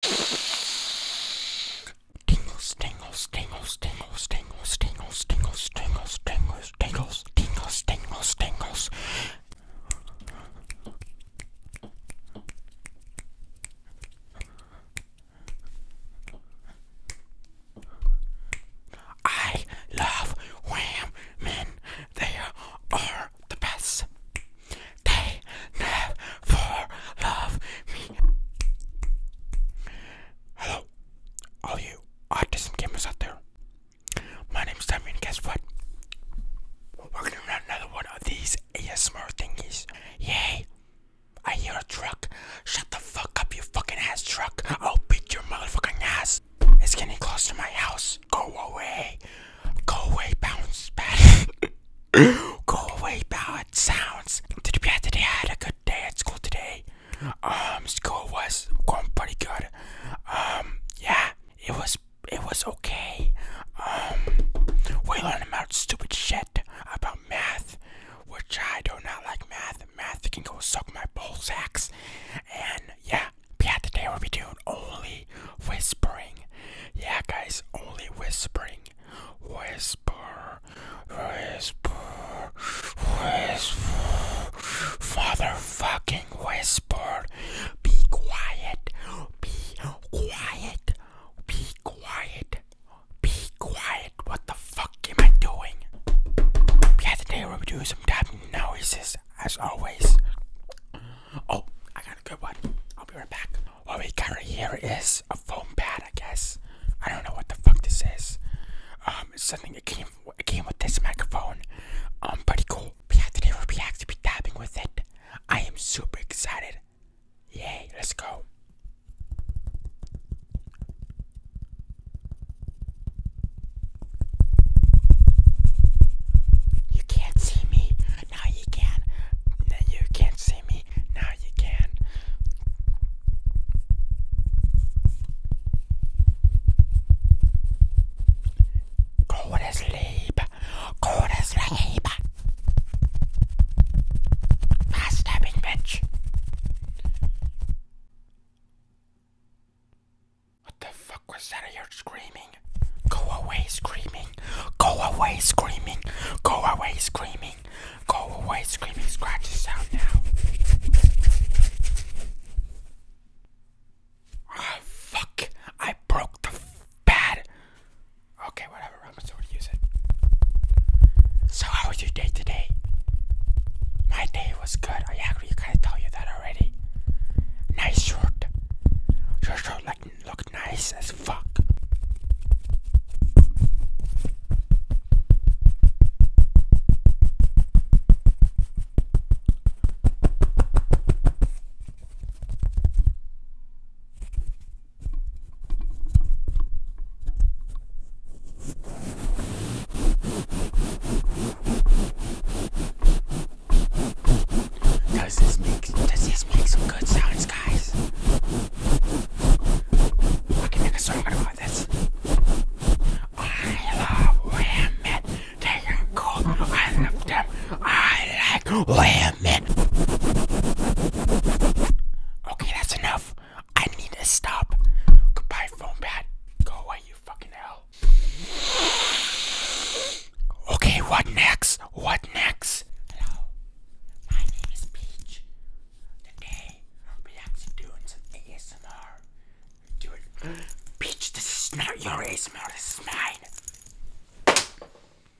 Tingles, tingles, tingles, tingles, tingles, tingles, tingles, tingles, tingles, tingles, tingles, tingles, tingles. I love women. They are the best they never love me. Hello, all you autism gamers out there. My name's Sammy, and guess what? We're working on another one of these ASMR thingies. Yay! I hear a truck. Shut the fuck up, you fucking ass truck. I'll beat your motherfucking ass. It's getting close to my house. Go away. Go away, bounce back. Go away, bounce sounds. Did you today? I had a good day at school today. Um, school was going pretty good. Um, yeah, it was it was okay. Um, we learned about stupid shit about math, which I do not like math. Math can go suck my ballsacks. And yeah, yeah, today we'll be doing only whispering. Yeah, guys, only whispering. Whisper, whisper, whisper, motherfucking whisper. Be quiet, be quiet, be quiet, be quiet. What the fuck am I doing? Yeah, today we're doing some tapping noises, as always. Oh, I got a good one. I'll be right back. What we got right here is a foam pad, I guess. I don't know what the fuck this is. Um, something that came came with this microphone. Um, pretty cool. We have today we'll be actually be dabbing with it. I am super excited. Yay, let's go. You can't see me. Now you can. Now you can't see me. Now you can. Go to sleep. Go to sleep. Fast bitch. What the fuck was that I heard screaming? Go away screaming. Go away screaming. Go away screaming. Go away screaming. Scratch this out now. Ah, fuck. I broke the pad. Okay, whatever. I'm going to use it. So, how was your day today? My day was good. I actually kind of tell you that already. Nice shirt. Your shirt like, look look nice as fuck. Does this make does this make some good sounds, guys? I can make a song out of this. I love women. They are cool. I love them. I like women. Okay, that's enough. I need to stop. Goodbye, phone pad. Go away, you fucking hell. Okay, what next? What next? Hello, my name is Peach. Today, we actually doing some ASMR. Doing Peach, this is not your ASMR, this is mine.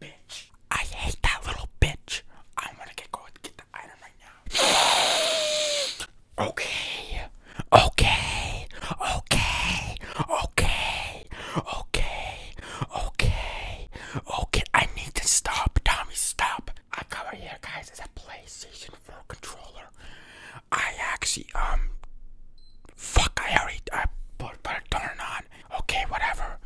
Bitch, I hate that little bitch. I'm gonna get go get the item right now. Okay, okay, okay, okay okay, okay, okay, I need to stop, Tommy. Stop. I got here, guys. It's a PlayStation 4 controller. I actually um, fuck. I already I put put a turn on. Okay, whatever.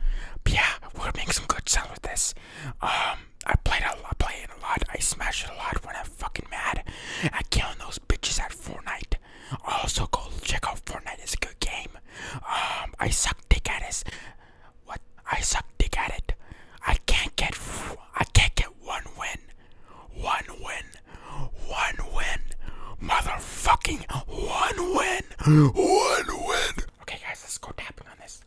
yeah, we're making some good sound with this. Um, I played a lot, play it a lot. I smashed it a lot when I'm fucking mad. at killing those bitches at Fortnite. Also go check out Fortnite. It's a good game. Um, I suck dick at this. What? I suck dick at it. I can't get. I can't get one win. One win. One win. Motherfucking one win. One win. Okay, guys, let's go tapping on this.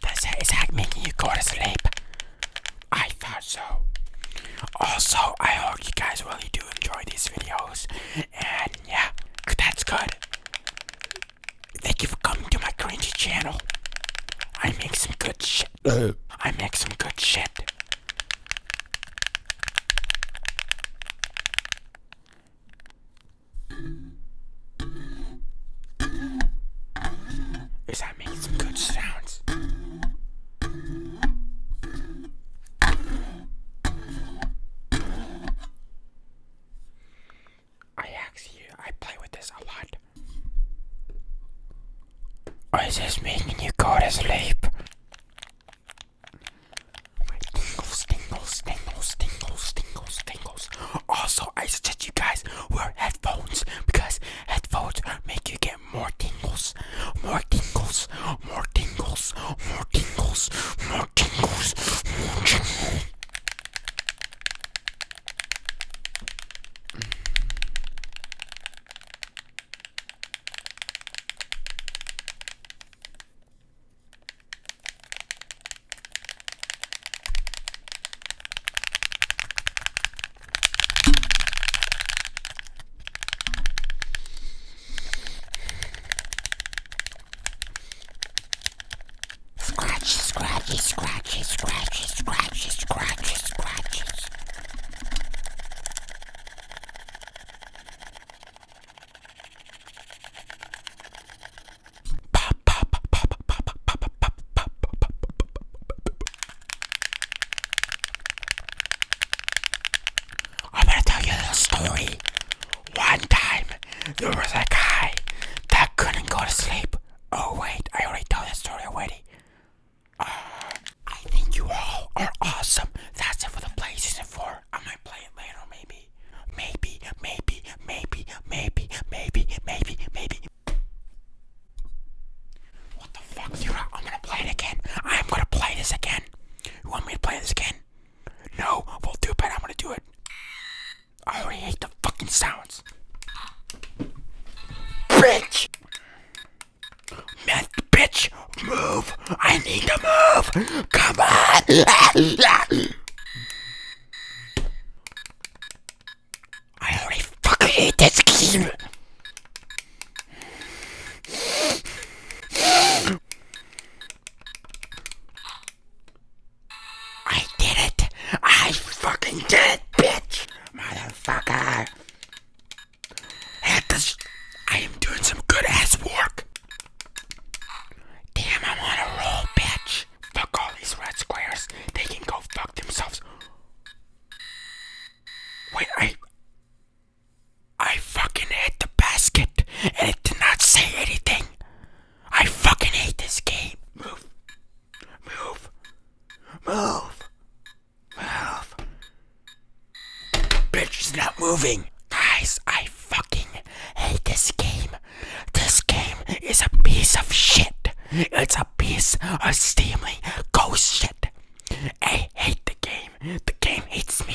Does his hack making you go to sleep? I thought so. Also, I hope you guys really do enjoy these videos. And yeah, that's good. Thank you for coming to my cringy channel. I make some good shit. I make some good shit. Is that making some good sounds? I actually, I play with this a lot. is this making you go to sleep? My tingles, tingles, tingles, tingles, tingles, also, I suggest you guys wear headphones because headphones make you get more tingles, more tingles, more tingles, more tingles, more tingles, more tingles. Scratchy, scratchy, scratchy, scratchy, scratchy, scratchy, scratchy. I'm gonna tell you a little story. One time, there was a guy that couldn't go to sleep. Oh wait, I already told that story already. Uh, I think you all are awesome. That's it for the play season four. I might play it later, maybe, maybe, maybe, maybe, maybe, maybe, maybe, what the fuck? you I'm gonna play it again. I'm gonna play this again. You want me to play this again? No, we'll do it, but I'm gonna do it. I already hate the fucking sounds. Bitch! Meth, bitch! Move! I need to move! Come on! I already fucking hate this game. I did it. I fucking did it, bitch. Motherfucker. This, I am doing some good ass work. Damn, I'm on a roll, bitch. Fuck all these red squares. They can go fuck themselves. Wait, I. I fucking hit the basket and it did not say anything. I fucking hate this game. Move. Move. Move. Move. Bitch is not moving. Guys, I fucking hate this game. This game is a piece of shit. It's a piece of steaming ghost shit. I hate the game. The game hates me.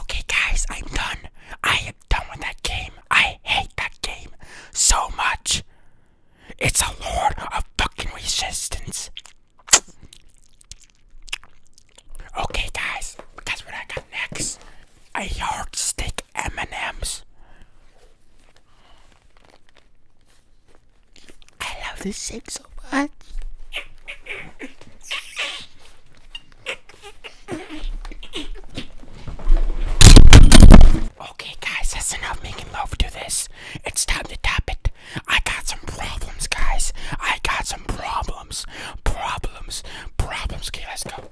Okay, guys, I'm done. I done with that game. I hate that game so much. It's a lord of fucking resistance. Okay, guys, guess what I got next? A yardstick M&M's. I love this shake so much. Okay, guys, that's enough making love to this. It's time to tap it. I got some problems, guys. I got some problems. Problems. Problems. Okay, let's go.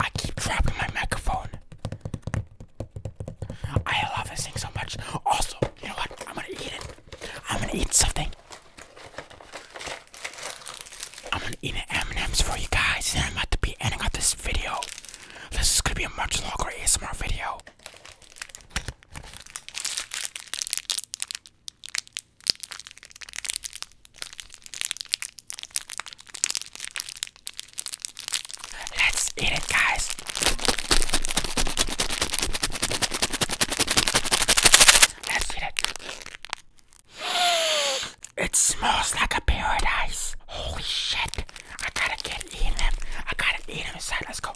I keep dropping my microphone. I love this thing so much. Also, you know what? I'm gonna eat it. I'm gonna eat something. I'm gonna eat an M&M's for you guys, and I'm about to be ending up this video. This is gonna be a much longer ASMR video. Let's eat it, guys. Let's eat it. It smells like a paradise. Holy shit. I gotta get eating them. I gotta eat them inside. Let's go.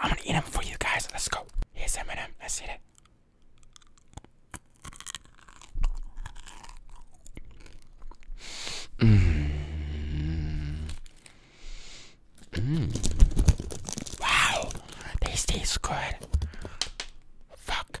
I'm gonna eat them for you guys. Let's go. Here's M&M. Let's eat it. Mm. Mm. Wow, these taste good. Fuck.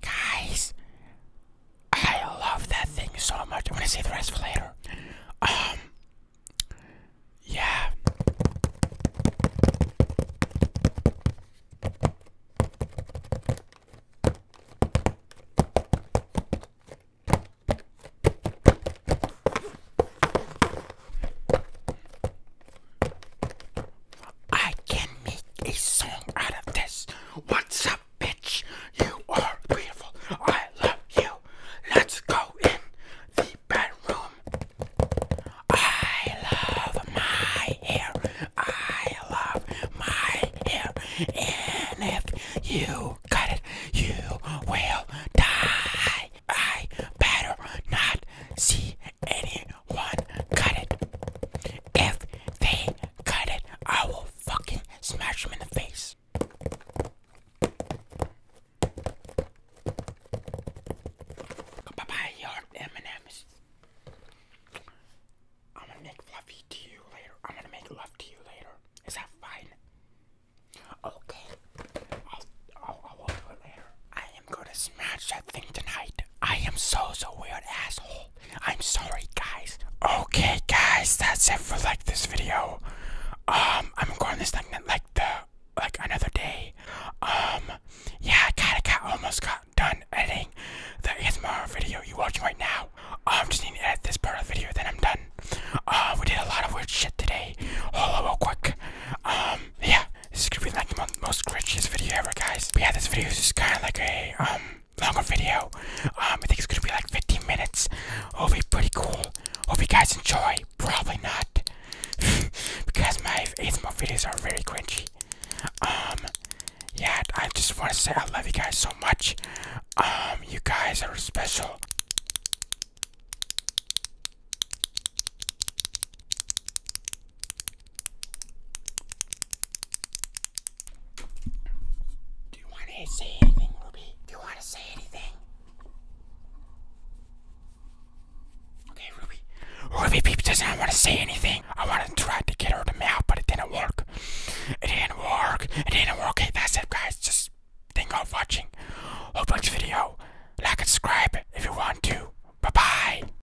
Guys, I love that thing so much. I'm gonna save the rest for later. Um, yeah. I can make a song out of this. What's up, bitch? You are beautiful. I love you. Let's go in the bedroom. I love my hair. I love my hair. And if you cut it, you will die. I better not see any one cut it. If they cut it, I will fucking smash them in the face. Bye bye, your m I'm gonna make fluffy to you later. I'm gonna make love to you later. Is that fine? Okay. I'll, I'll, I'll do it later. I am gonna smash that thing tonight. I am so, so weird asshole. I'm sorry, guys. Okay, guys, that's it for like this video. Um, I'm recording this thing like the like another day. Um, yeah, I kinda got almost got done editing the ASMR video you watching right now. I'm um, just need to edit this part of the video, then I'm done. Uh, we did a lot of weird shit today. Hold on real quick. Um, yeah. This is gonna be like the most cringiest video ever, guys. But yeah, this video is just kind of like a um longer video. Um, I think it's gonna be like 15 minutes. It'll be pretty cool. Hope you guys enjoy. Probably not, because my eighth ASMR videos are very cringy. Um, yeah, I just want to say I love you guys so much. Um, you guys are special. Do you want to say anything, Ruby? Do you want to say anything? Okay, Ruby. Ruby Peep doesn't want to say anything. I wanted to try to get her to mouth, but it didn't work. It didn't work. It didn't work. Okay, that's it, guys. Just think of watching. Hope you the video. Like and subscribe if you want to. Bye-bye.